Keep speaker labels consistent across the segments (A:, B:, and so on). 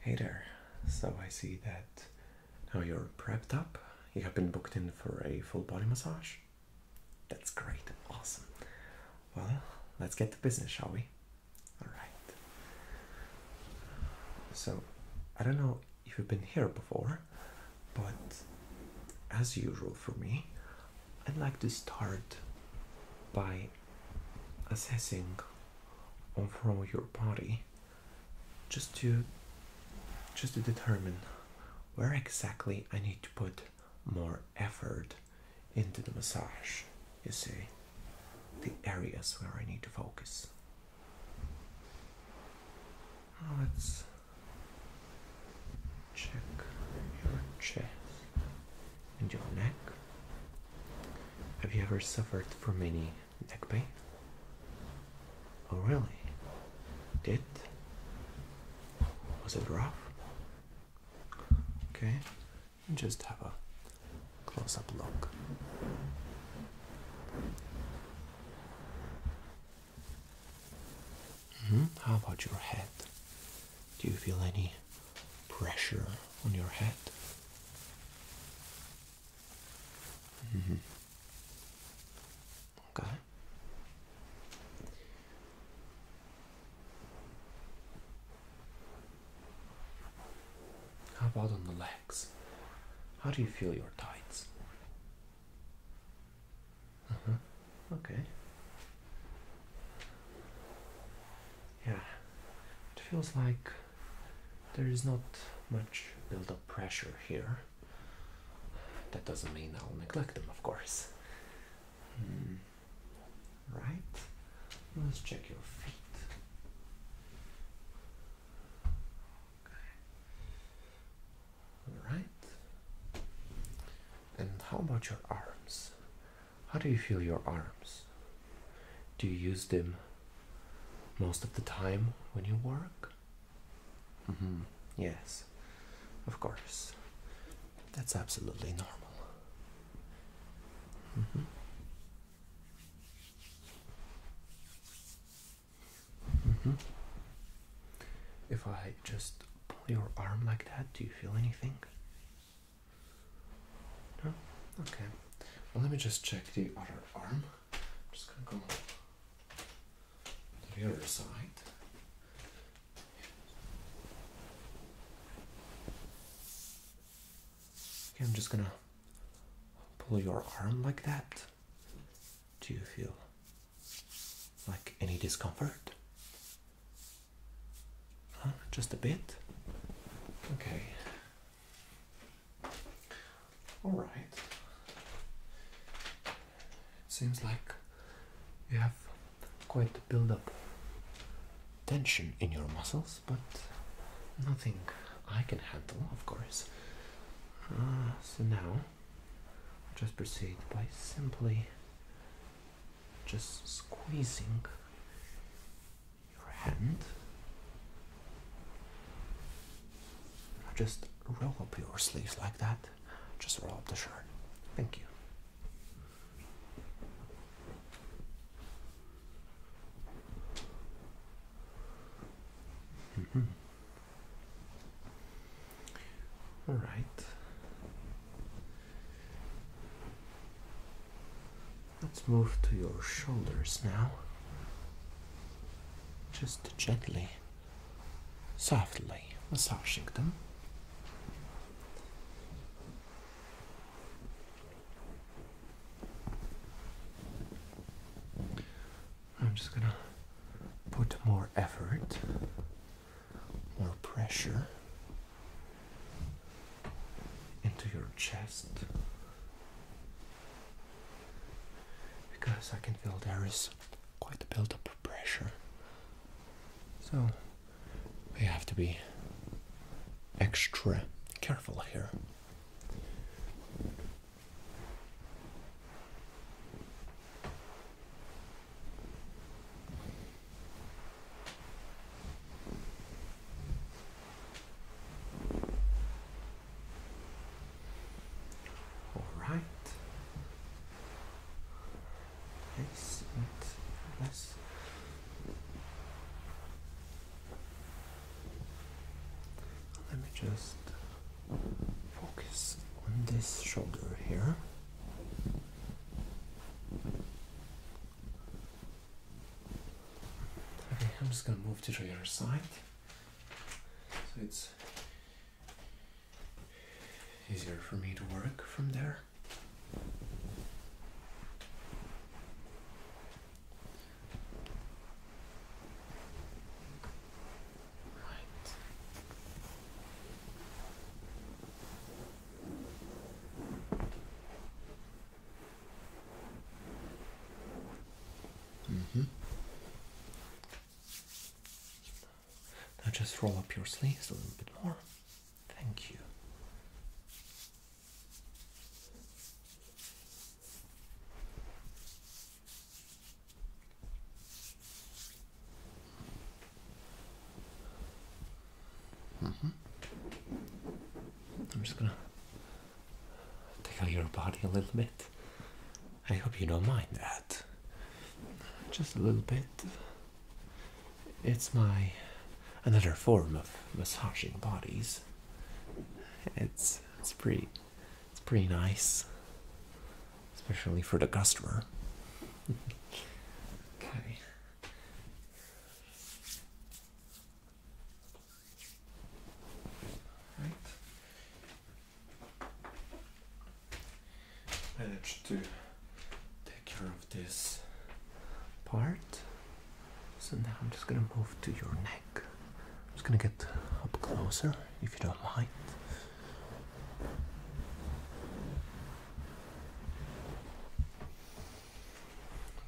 A: Hey there. So I see that now you're prepped up. You have been booked in for a full body massage. That's great. Awesome. Well, let's get to business, shall we? All right. So, I don't know if you've been here before, but as usual for me, I'd like to start by assessing from your body just to just to determine where exactly I need to put more effort into the massage, you see, the areas where I need to focus. Let's check your chest and your neck. Have you ever suffered from any neck pain? Oh, really? Did? Was it rough? Okay, just have a close up look. Hmm? How about your head? Do you feel any pressure on your head? Mm-hmm. Okay. How about on the legs? How do you feel your tights? Mm-hmm. Okay. Yeah, it feels like there is not much build up pressure here. That doesn't mean I'll neglect them, of course. Hmm. Right? Let's check your feet. Okay. All right. And how about your arms? How do you feel your arms? Do you use them most of the time when you work? Mm-hmm. Yes, of course. That's absolutely normal. Mm-hmm. Mm-hmm. If I just pull your arm like that, do you feel anything? No? Okay. let me just check the other arm. just gonna go the other side. Okay, I'm just gonna pull your arm like that. Do you feel like any discomfort? Just a bit? Okay. Alright. seems like you have quite a build up tension in your muscles, but nothing I can handle, of course. Uh, so now just proceed by simply just squeezing your hand just roll up your sleeves like that just roll up the shirt thank you mm-hmm. All right. Let's move to your shoulders now. Just gently, softly massaging them. I'm just gonna put more effort, more pressure into your chest because I can feel there is quite a build-up pressure. So we have to be extra careful here. All right. Yes, yes. Let me just focus on this shoulder here. Okay, I'm just gonna move to the other side so it's easier for me to work from there. Mm -hmm. Now just roll up your sleeves a little bit more. Thank you. Mm -hmm. I'm just gonna tickle your body a little bit. I hope you don't mind that. Just a little bit. It's my another form of massaging bodies. It's it's pretty it's pretty nice, especially for the customer. okay. Right. Managed to take care of this part. So now I'm just gonna move to your neck. I'm just going to get up closer if you don't mind.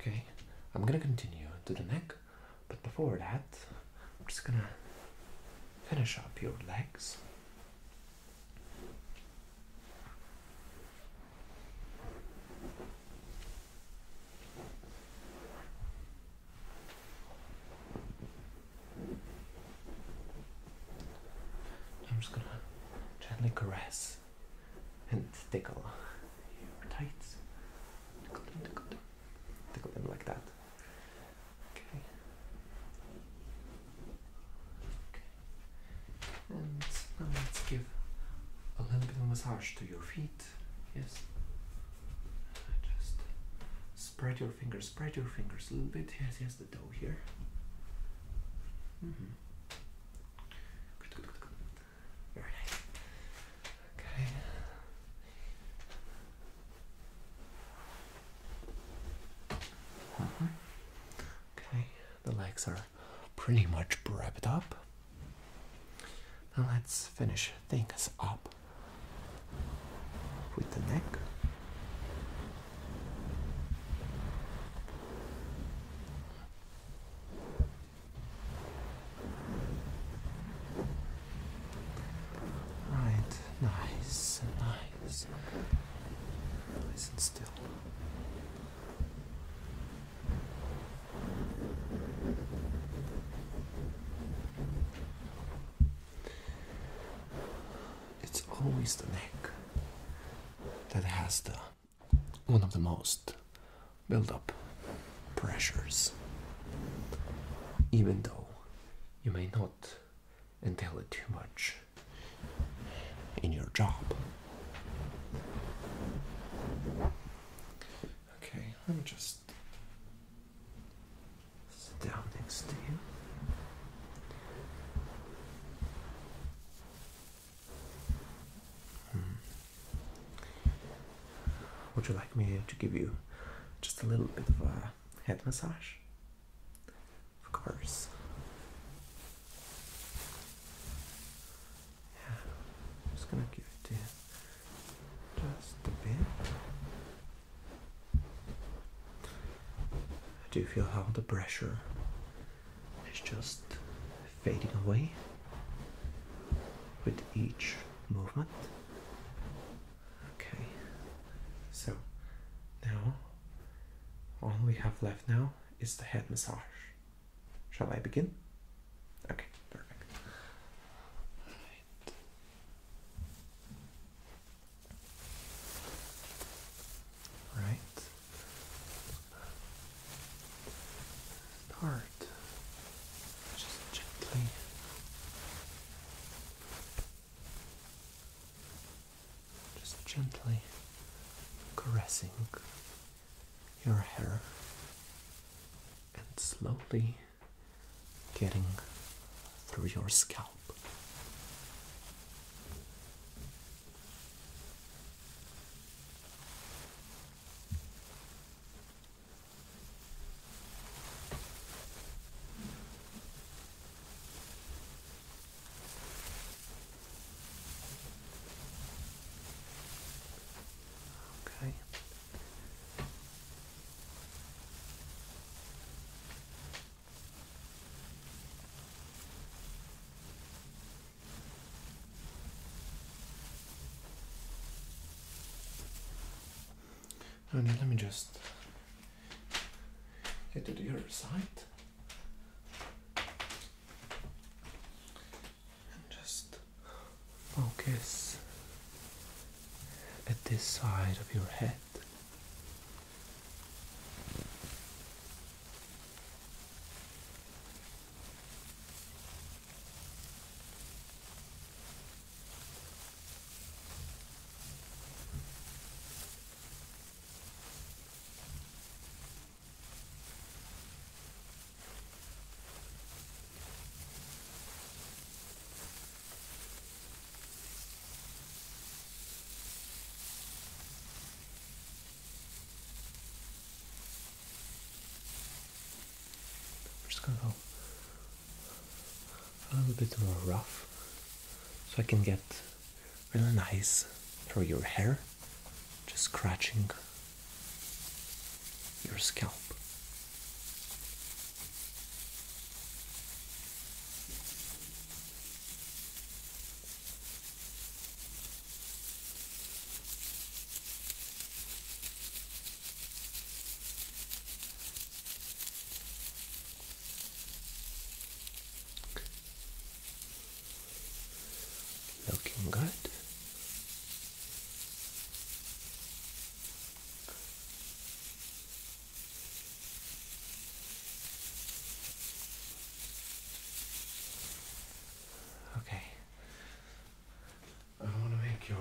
A: Okay, I'm going to continue to the neck, but before that, I'm just going to finish up your legs. I'm just gonna gently caress and tickle your tights. Tickle them, tickle them, like that. Okay. Okay. And now let's give a little bit of massage to your feet. Yes. Uh, just uh, spread your fingers, spread your fingers a little bit. Yes, yes, the dough here. Mm-hmm. Very nice. Okay. Uh-huh. Okay, the legs are pretty much wrapped up. Now let's finish things up with the neck. Right, nice, nice, nice and still. It's always the neck that has the one of the most build-up pressures, even though you may not entail it too much in your job. Okay, let me just sit down next to you. Hmm. Would you like me to give you just a little bit of a head massage? Of course. Yeah, i just going to give it just a bit. I do feel how the pressure is just fading away with each movement. Okay, so now all we have left now is the head massage. Shall I begin? Okay, perfect. Right. Start just gently. Just gently caressing your hair and slowly getting through your scalp. Okay. Oh, let me just get to the other side just focus at this side of your head. We're just gonna go a little bit more rough so I can get really nice through your hair, just scratching your scalp. Looking good. Okay. I want to make your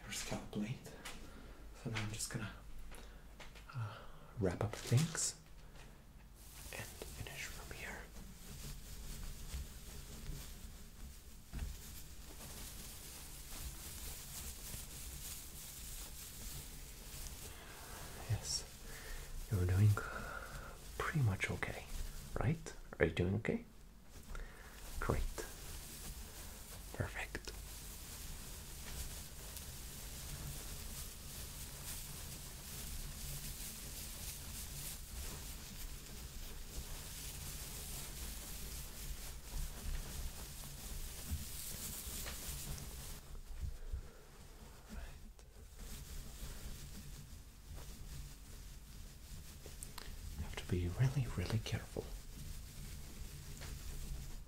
A: your scalp blade. So now I'm just gonna uh, wrap up things and finish from here. Yes, you're doing pretty much okay, right? Are you doing okay? Great. Perfect. have to be really, really careful.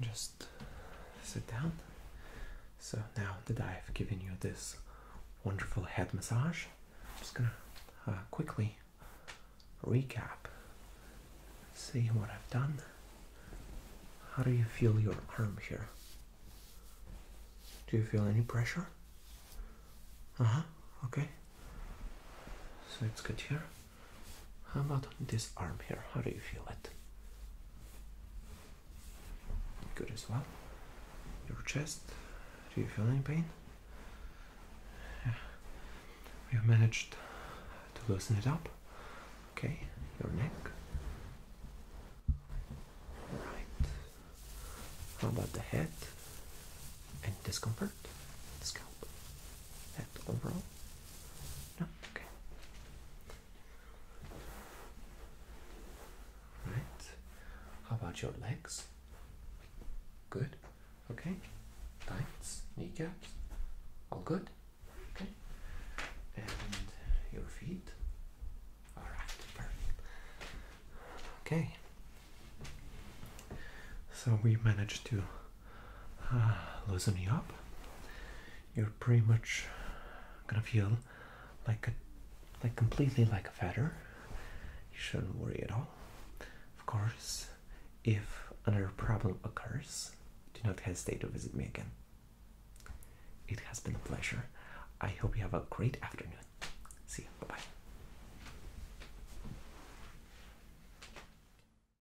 A: Just sit down. So now that I've given you this wonderful head massage, I'm just gonna uh, quickly recap. See what I've done. How do you feel your arm here? Do you feel any pressure? Uh huh. Okay. So it's good here. How about this arm here? How do you feel it? Good as well. Your chest. Do you feel any pain? Yeah. We've managed to loosen it up. Okay, your neck. Right. How about the head? And discomfort? The scalp? Head overall? No? Okay. Right. How about your legs? Good. Okay. Tights, kneecaps, all good. Okay. And your feet. Alright, perfect. Okay. So we managed to uh, loosening up, you're pretty much gonna feel like a like completely like a feather. You shouldn't worry at all. Of course, if another problem occurs, do not hesitate to visit me again. It has been a pleasure. I hope you have a great afternoon. See you. Bye bye.